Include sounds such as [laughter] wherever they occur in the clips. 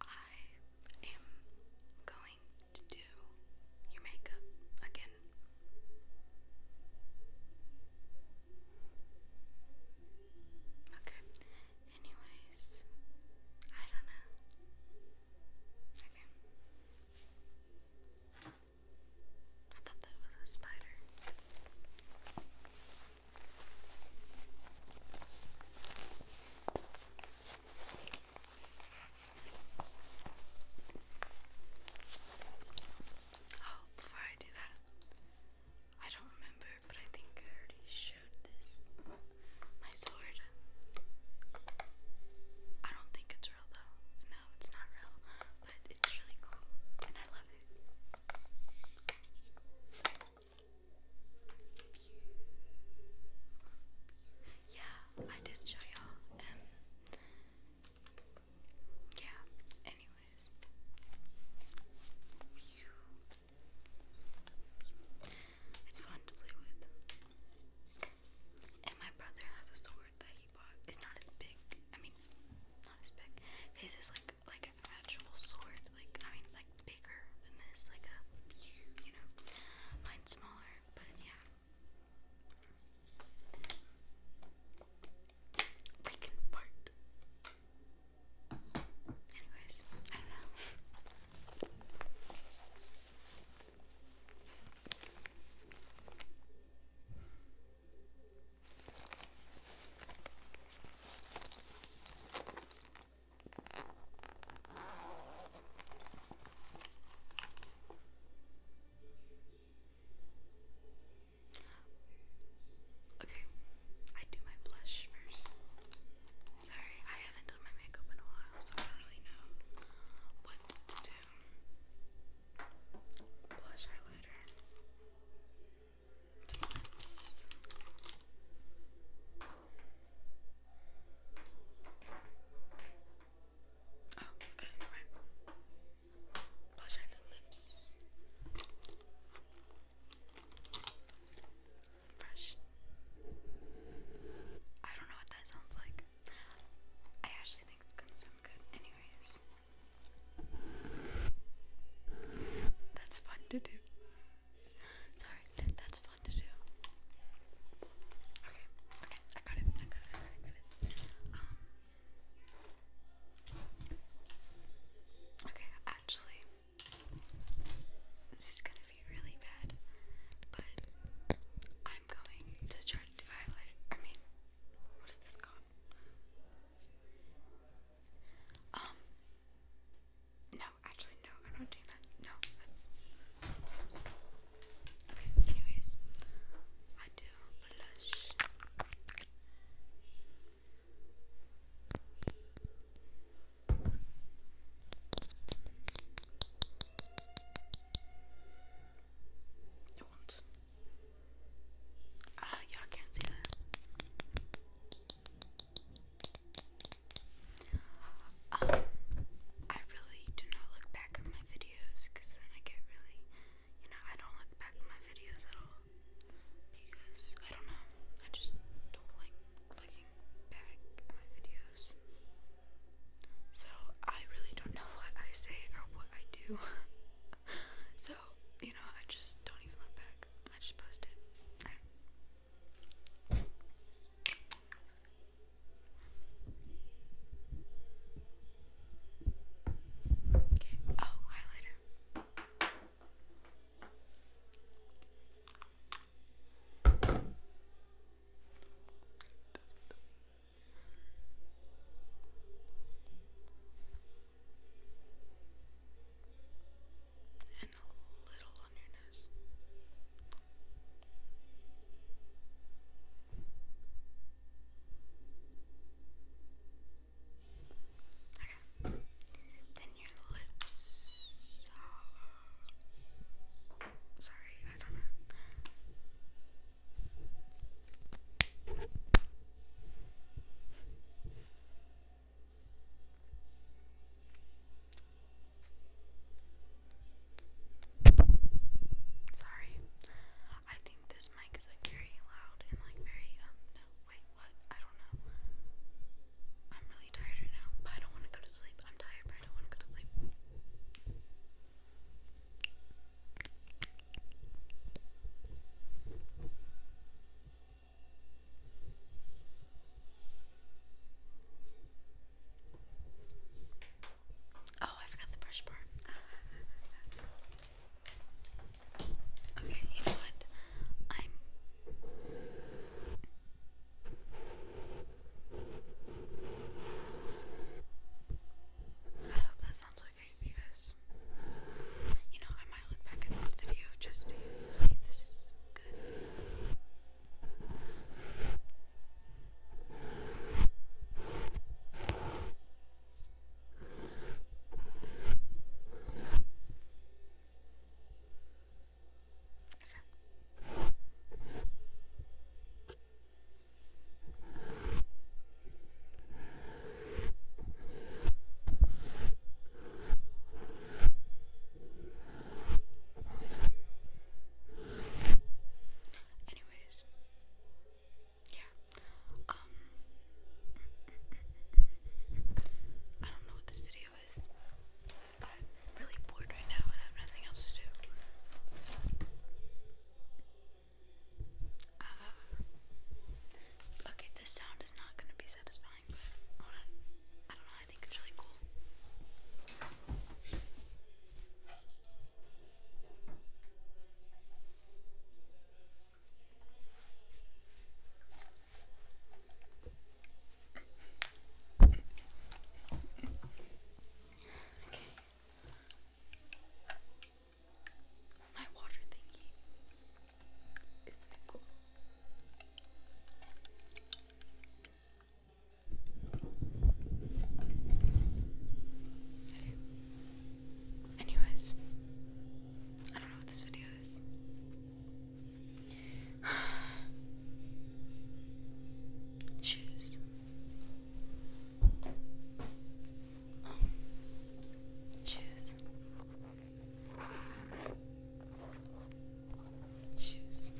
I am going to do your makeup again. Okay. Anyways, I don't know. Okay. I thought that was a spider. Oh, before I do that, I don't remember, but I think I already showed this. My sword. I don't think it's real though. No, it's not real, but it's really cool and I love it. Yeah, I did show y'all. Um, yeah, anyways. It's fun to play with. And my brother has a sword that he bought. It's not as big. I mean, not as big. His is like like an actual sword, like I mean, like bigger than this, like a you know, mine's smaller, but yeah. We can part. Anyways, I don't know. Okay, I do my blush first. Sorry, I haven't done my makeup in a while, so I don't really know what to do. Blush eyeliner times oh okay right blush and lips fresh I don't know what that sounds like I actually think it's gonna sound good anyways that's fun to do. Sorry, that's fun to do. Okay, okay, I got it. I got it. I got it. Um, okay, actually, this is gonna be really bad, but I'm going to try to do I mean, what is this called? Um, no, actually, no, I'm not doing that. No, that's. Okay, anyways, I do blush. I want uh, y'all can't see that. Um, I really do not look back at my videos because then I get really, you know, I don't look back at my videos at all because I don't know, I just don't like looking back at my videos. So I really don't know [laughs] what I say or what I do. [laughs] so, you know, I just don't even look back. I just post it. Okay. Oh, highlighter and a little on your nose. Okay. Then your lips. Sorry, I don't know. Sorry. I think this mic is like very loud and like very um, wait what I don't know. I'm really tired right now, but I don't want to go to sleep. I'm tired, but I don't want to go to sleep. Oh, I forgot the brush part. [laughs] okay, you know what? i hope that sounds okay okay because you know I might look back at this video just to see if this is good. Anyways, yeah. Um, I don't know what this video is. really bored right now and have nothing else to do. Uh, okay, this sound is not going to be satisfying, but I don't know, I think it's really cool. okay. My water thingy. Isn't it cool? Anyways, I don't know what this video is. Shoes. [sighs] Choose. Choose.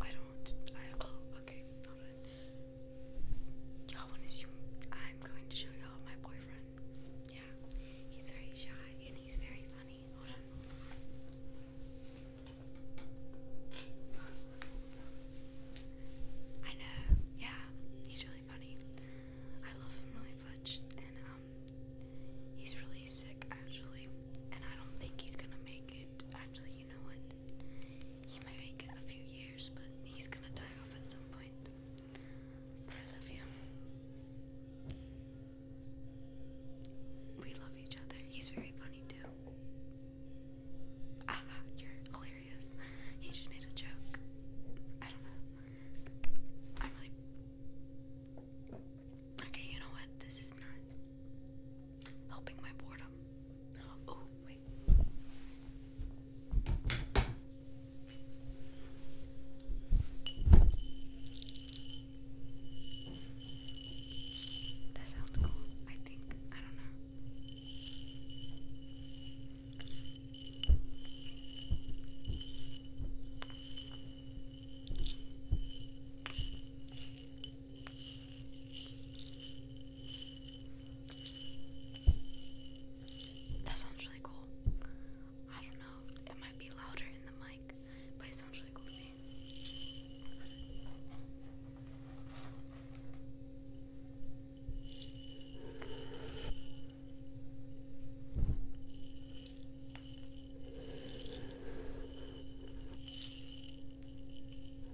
I don't. oh okay. Hold Y'all wanna see I'm going to show y'all my boyfriend. Yeah. He's very shy and he's very funny. Hold on. I know, yeah, he's really funny. I love him really much and um he's really sick actually and I don't think he's gonna make it. Actually, you know what? He might make it a few years, but he's gonna die off at some point. But I love you. We love each other. He's very funny too. Ah, you're hilarious. He just made a joke. I don't know. I'm like, okay, you know what? This is not helping my boredom. Oh, wait. That sounds cool, I think. I don't know. That sounds really cool. I don't know, it might be louder in the mic, but it sounds really cool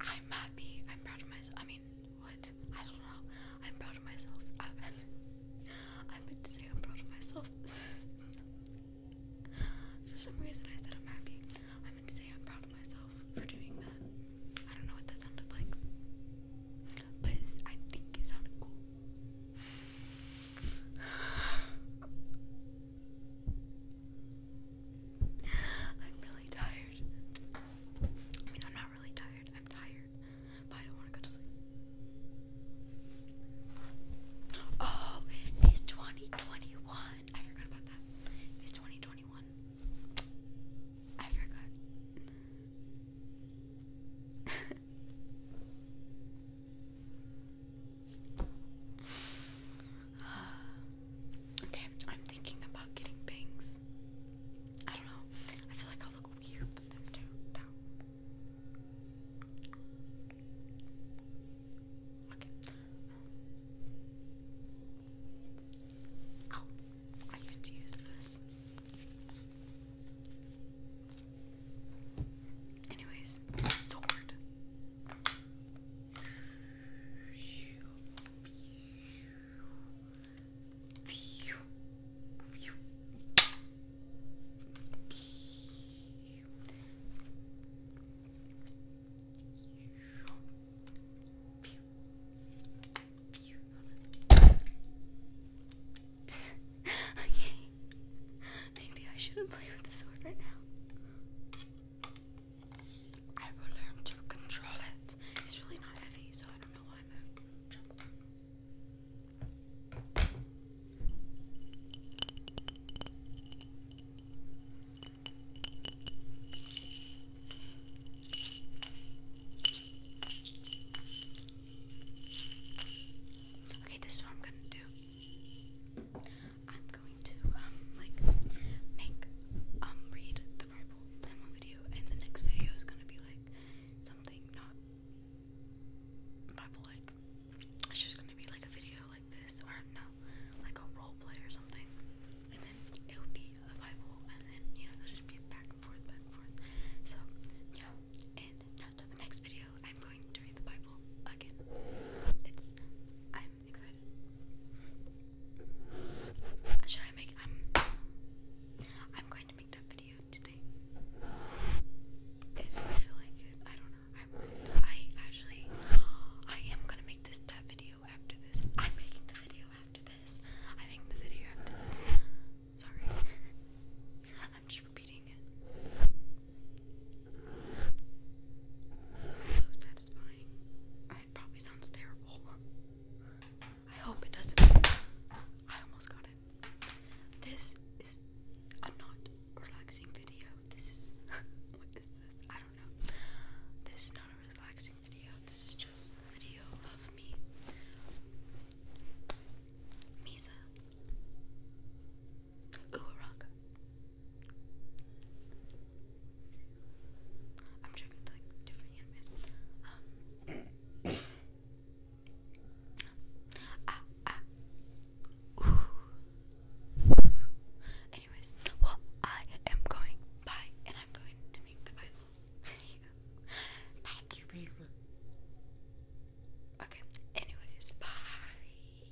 I'm happy. I'm proud of myself. I mean, what? I don't know. I'm proud of myself. I, [laughs] meant to say I'm proud of myself. [laughs] for some reason, I said I'm happy. I meant to say I'm proud of myself for doing that. I don't know what that sounded like, but I think it sounded cool. [sighs] [sighs] I'm really tired. I mean, I'm not really tired. I'm tired, but I don't want to go to sleep. Oh, it's 2021. I forgot about that. It's 2021. I forgot. [laughs] [sighs] Okay, I'm thinking about getting bangs. I don't know. I feel like I'll look weird oh, I used to use this. Anyways, sword okay. [laughs] Maybe I shouldn't play with the sword right now. I will learn to control it. It's really not heavy, so I don't know why I'm having Okay, this is what I'm gonna do. I'm going to um like make um read the Bible in one video, and the next video is gonna be like something not Bible like. It's just gonna be like a video like this, or no, like a role play or something, and then it would be a Bible, and then you know it'll just be back and forth, back and forth. So yeah, and now the next video, I'm going to read the Bible again. It's I'm excited. Should I make? I'm. I'm going to make that video today. If I feel like it, I don't know. I I actually I am gonna make this that video after this. I'm making the video after this. I make the video after this. Sorry. [laughs] I'm just repeating it. So satisfying. It probably sounds terrible. I hope it doesn't. I almost got it. This is a not relaxing video. This is. [laughs] what is this? I don't know. This is not a relaxing video. This is just video of me. Misa. Ooh, a rock. I'm trying to like different animes. ah, ah. Ooh. Anyways, well, I am going by, and I'm going to make the Bible. Okay. Anyways, bye.